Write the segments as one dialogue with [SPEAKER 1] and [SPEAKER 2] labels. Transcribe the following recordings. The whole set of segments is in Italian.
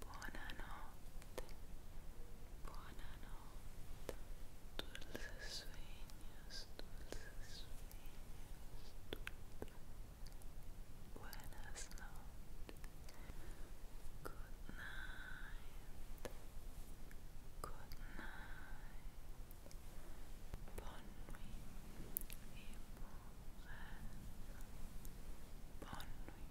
[SPEAKER 1] Buonanotte, buonanotte, dulces sueños, dulces sueños, dulces. Buenas noches, good night, good night, bonne nuit bonne nuit.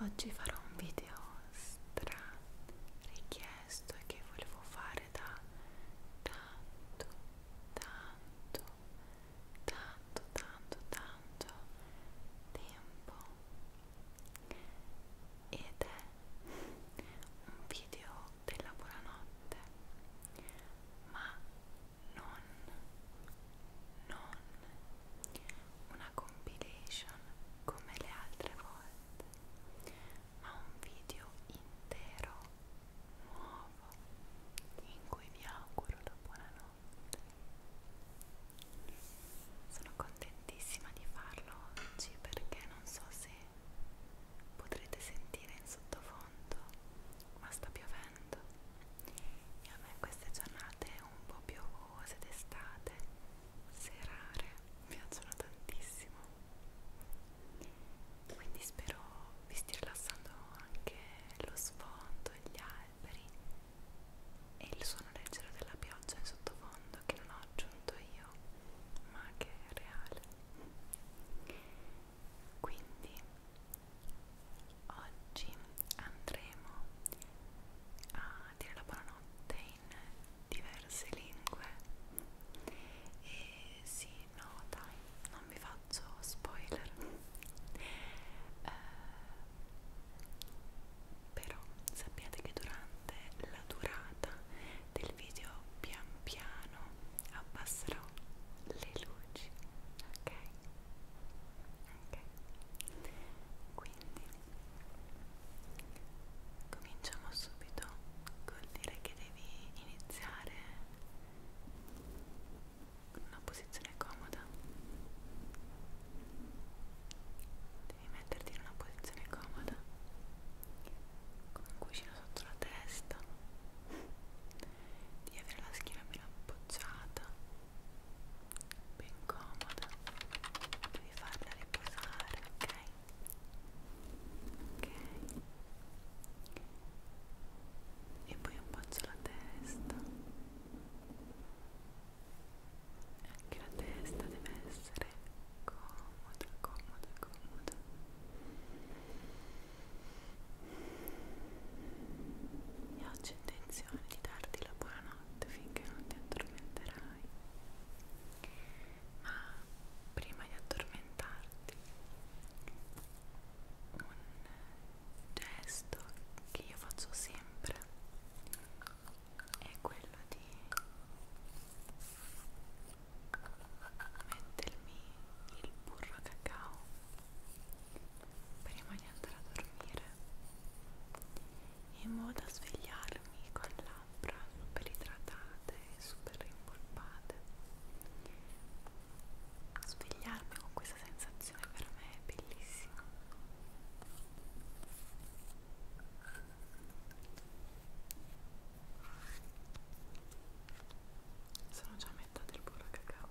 [SPEAKER 1] Oggi farò un video stra richiesto e che volevo fare da tanto, tanto, tanto, tanto, tanto tempo ed è un video della buonanotte, ma non, non una compilation come le altre volte, ma un video intero, nuovo, in cui vi auguro la buonanotte. Sono contentissima di farlo oggi perché non so se potrete sentire in sottofondo, ma sta piovendo e a me queste giornate un po' piovose d'estate, serare, mi piacciono tantissimo quindi spero vi stia rilassando anche lo sfondo, gli alberi e il suono leggero della pioggia in sottofondo che non ho aggiunto io ma che è reale quindi oggi andremo a dire la buonanotte in diverse lingue e sì, no dai, non vi faccio spoiler eh, però sappiate che durante la durata del video pian piano abbasserò le luci ok? ok? quindi Cominciamo subito col dire che devi iniziare con una posizione comoda. Devi metterti in una posizione comoda, con un cuscino sotto la testa, di avere la schiena ben appoggiata ben comoda devi farla riposare ok ok e poi appoggia la testa anche la testa deve essere comoda comoda comoda e oggi ho intenzione di darti la buonanotte finché non ti addormenterai ma prima di addormentarti un gesto che io faccio sempre è quello di mettermi il burro cacao prima di andare a dormire in modo da svegliarmi con labbra super idratate e super rimpolpate. Svegliarmi con questa sensazione per me è bellissima. Sono già a metà del burro cacao.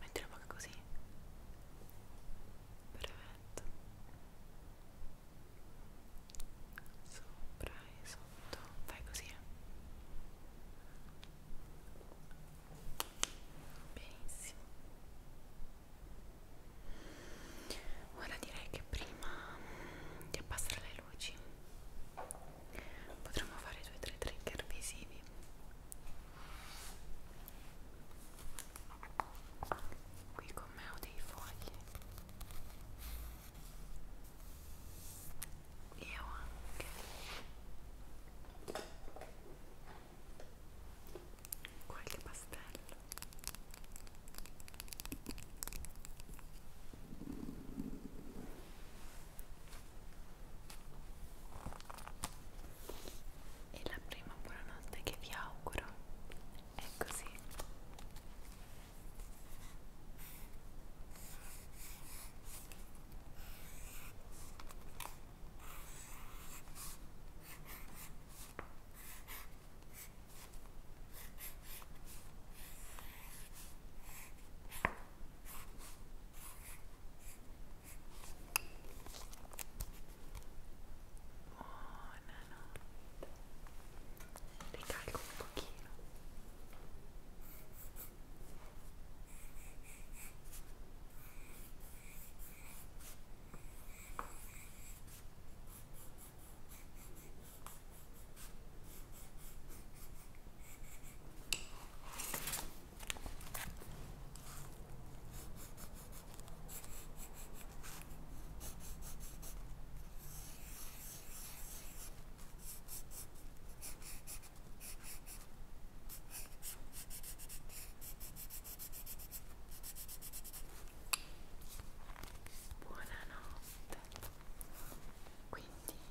[SPEAKER 1] metti la bocca così perfetto sopra e sotto fai così benissimo ora direi che prima di abbassare le luci potremmo fare due o tre trigger visivi qui con me ho dei fogli e ho anche qualche pastello E la prima buonanotte che vi auguro è così. Buonanotte. Ricarico un pochino. Buonanotte. Quindi mi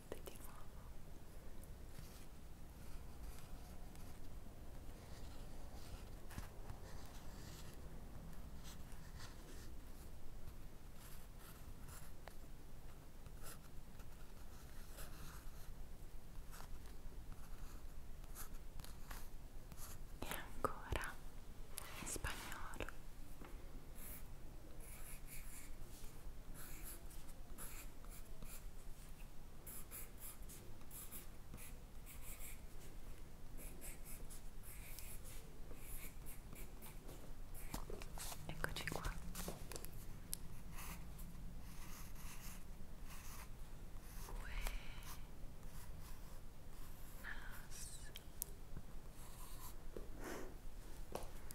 [SPEAKER 1] notte di nuovo e ancora in spagnolo Eccoci qua. Uè. Nas.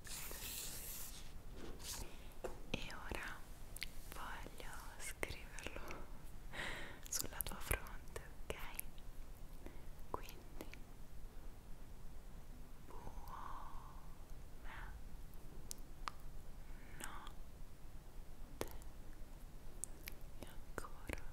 [SPEAKER 1] e ora voglio scriverlo sulla tua fronte, ok? Quindi buona notte e ancora buona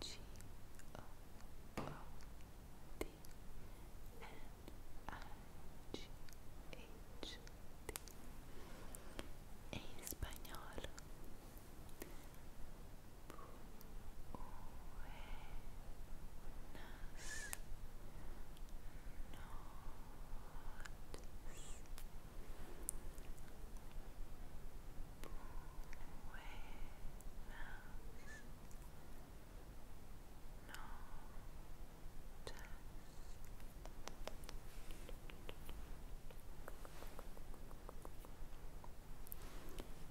[SPEAKER 1] G O O D N I G H T en español Buenas noches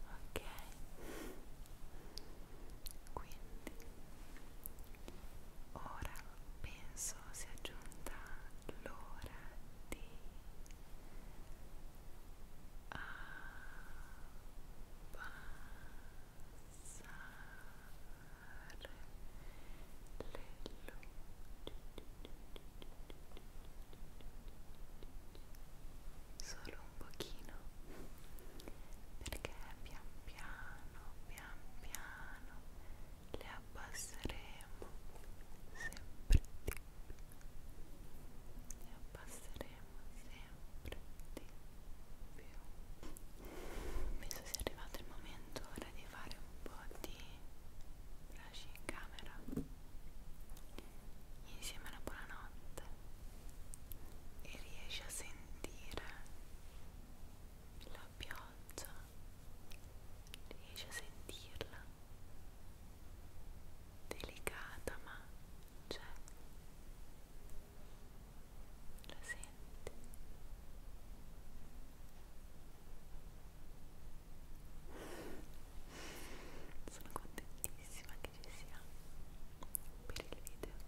[SPEAKER 1] Ok, quindi ora penso sia giunta l'ora solo un pochino perché pian piano pian piano le abbasseremo sempre di e abbasseremo sempre di più penso sia arrivato il momento ora di fare un po' di brush in camera insieme alla buonanotte e riesci a sentire la pioggia riesci a sentirla delicata ma c'è la senti sono contentissima che ci sia per il video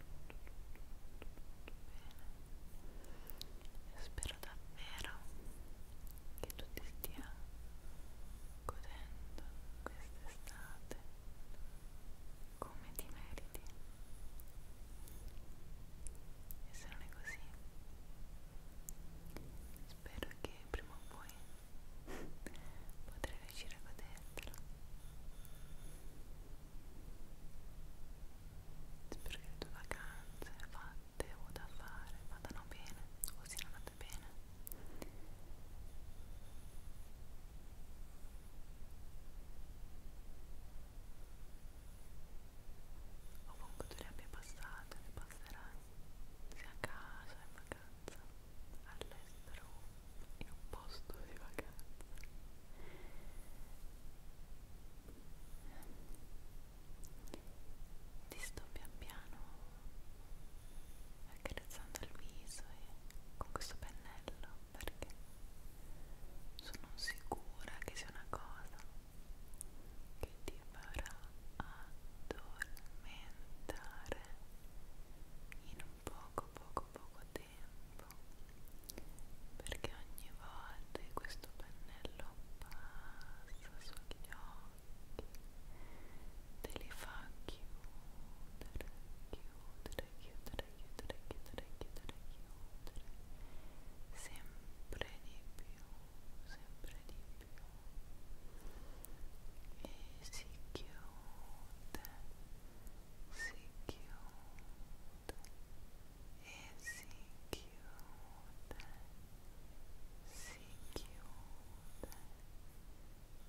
[SPEAKER 1] Bene. Spero davvero che tu ti stia godendo quest'estate come ti meriti. E se non è così, spero che prima o poi potrai riuscire a godertelo Spero che le tue vacanze fatte o da fare vadano bene o siano andate bene. Ovunque tu le abbia passate, le passerai sia a casa, in vacanza, all'estero in un posto di vacanza ti sto pian piano accarezzando il viso e con questo pennello perché sono sicura che sia una cosa che ti farà addormentare in poco poco poco tempo perché ogni volta che questo pennello passa sugli occhi te li fa chiudere, chiudere, chiudere, chiudere, chiudere, chiudere, chiudere sempre di più, sempre di più e si chiude si chiude e si chiude, si chiude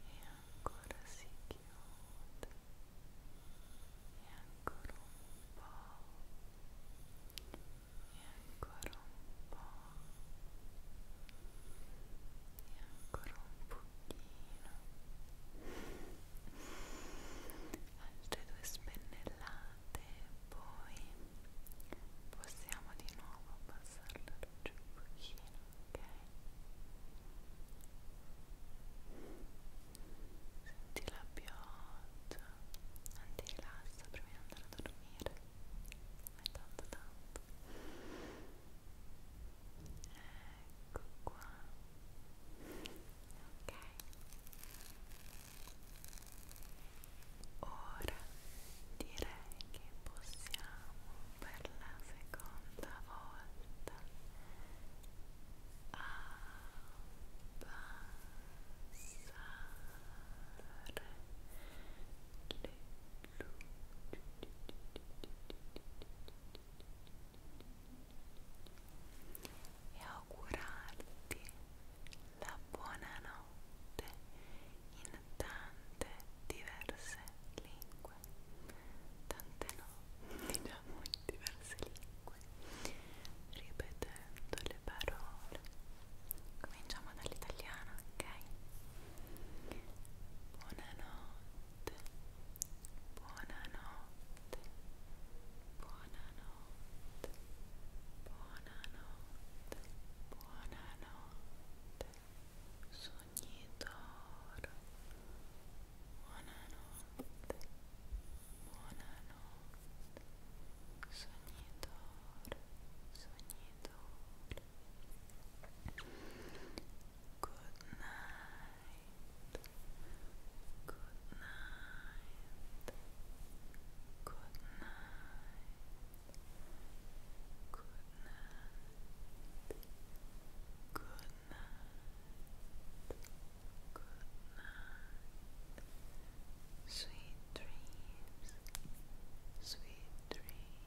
[SPEAKER 1] e ancora si chiude e ancora un po' e ancora un po' e ancora un pochino altre due spennellate poi possiamo di nuovo passare la luce un pochino ok senti la pioggia anti rilassa prima di andare a dormire è tanto tanto ecco qua ok ora direi che possiamo per la seconda volta abbassare le luci e augurarti la buonanotte in tante diverse lingue tante no, diciamo in diverse lingue ripetendo le parole cominciamo dall'italiano, ok? buonanotte buonanotte, buonanotte, buonanotte, buonanotte, sognitore, buonanotte, buonanotte, sognitore, sognitore. Good night. Good night. Good night. Good night. Good night. Good night. Sweet dreams. Sweet dreams.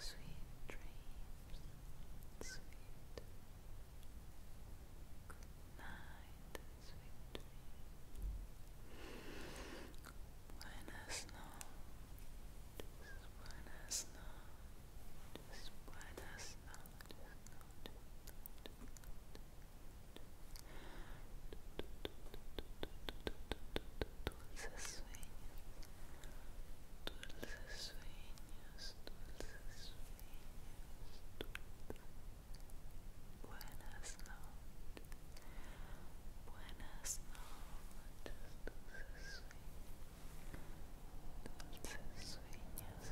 [SPEAKER 1] Sweet dreams. Sweet Good night, sweet dreams. Buenas noches, buenas noches, buenas noches, Dulces sueños, dulces sueños, dulces Buenas noches. Buenas noches. Dulces sueños.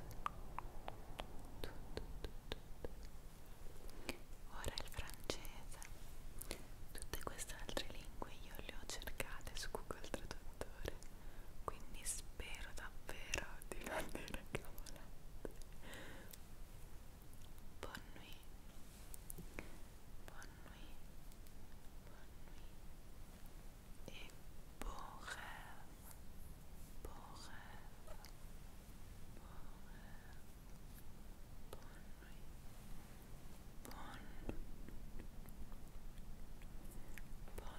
[SPEAKER 1] Ora il francese. Tutte queste altre lingue io le ho cercate su Google Traduttore quindi spero davvero di non dire cavolate buon nuit buon nuit buon nuit e buon rêve buon rêve buon rêve buon nuit buon buon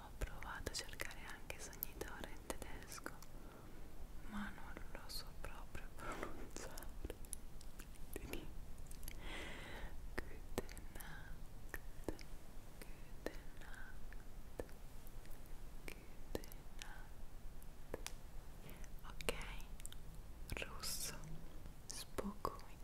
[SPEAKER 1] Ho provato a cercare anche sognitore in tedesco, ma non lo so proprio pronunciare. Good night, good night, good night. Ok, russo, spokojnie.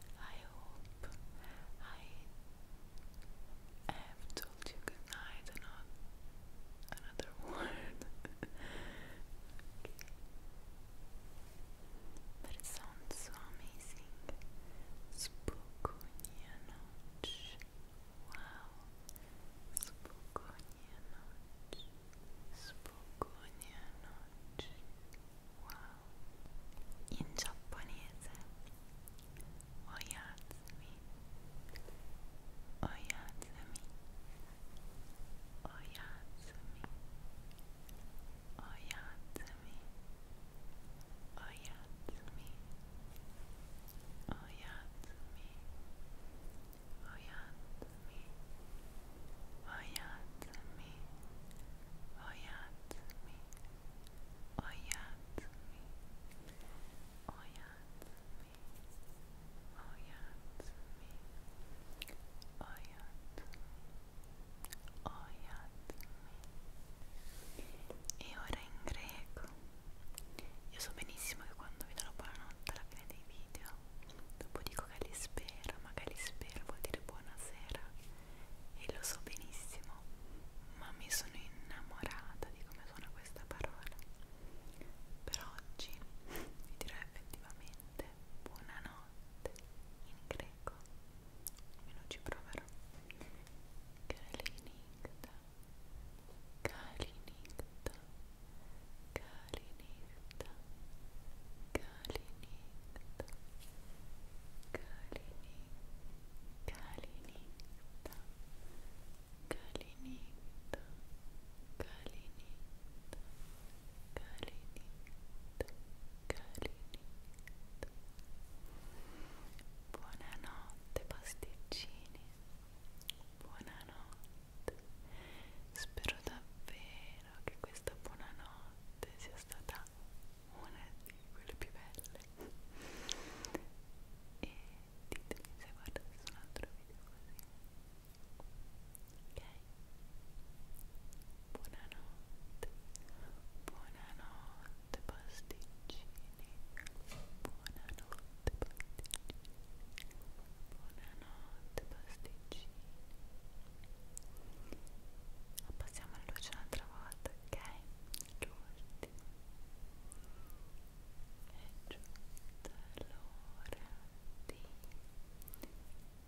[SPEAKER 1] I hope I have told you good night another word. But it sounds so amazing. Spokojnia Wow. Spokojnia noc. Wow, in giapponese Oyatsumi Oyatsumi Oyatsumi Oyatsumi Oyatsumi Oyatsumi Oyatsumi Oyatsumi Oyatsumi oyatsumi, oyatsumi, oyatsumi, oyatsumi, oyatsumi. E ora in greco. Io so benissimo che quando vi darò buonanotte alla fine dei video, dopo dico che li spera, ma che li spera vuol dire buonasera e lo so benissimo, ma mi sono innamorata di come suona questa parola. Per oggi vi dirò effettivamente buonanotte in greco, almeno ci proverò. Kalinikta, Kalinikta, Kalinikta, Kalinikta, Kalinikta. Calinita, Calinita, Calinita, Calinita, Calinita. Buonanotte pasticcini, buonanotte. Spero davvero che questa buonanotte sia stata era una di quelle più belle e ditemi se guardate su un altro video così ok buonanotte buonanotte pasticcini buonanotte pasticcini buonanotte pasticcini abbassiamo la luce un'altra volta ok? l'ultimo è giunta l'ora di abbassare le luci definitivamente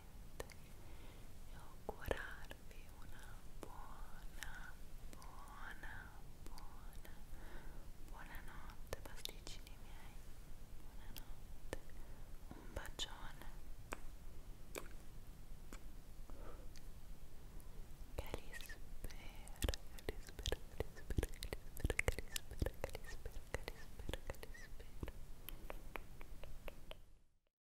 [SPEAKER 1] veramente e una buona, buona, buona, buona notte pasticcini miei, buonanotte, un bacione Calispera, Calispera, Calispera, Calispera, Calispera, Calispera, Calispera, Calispera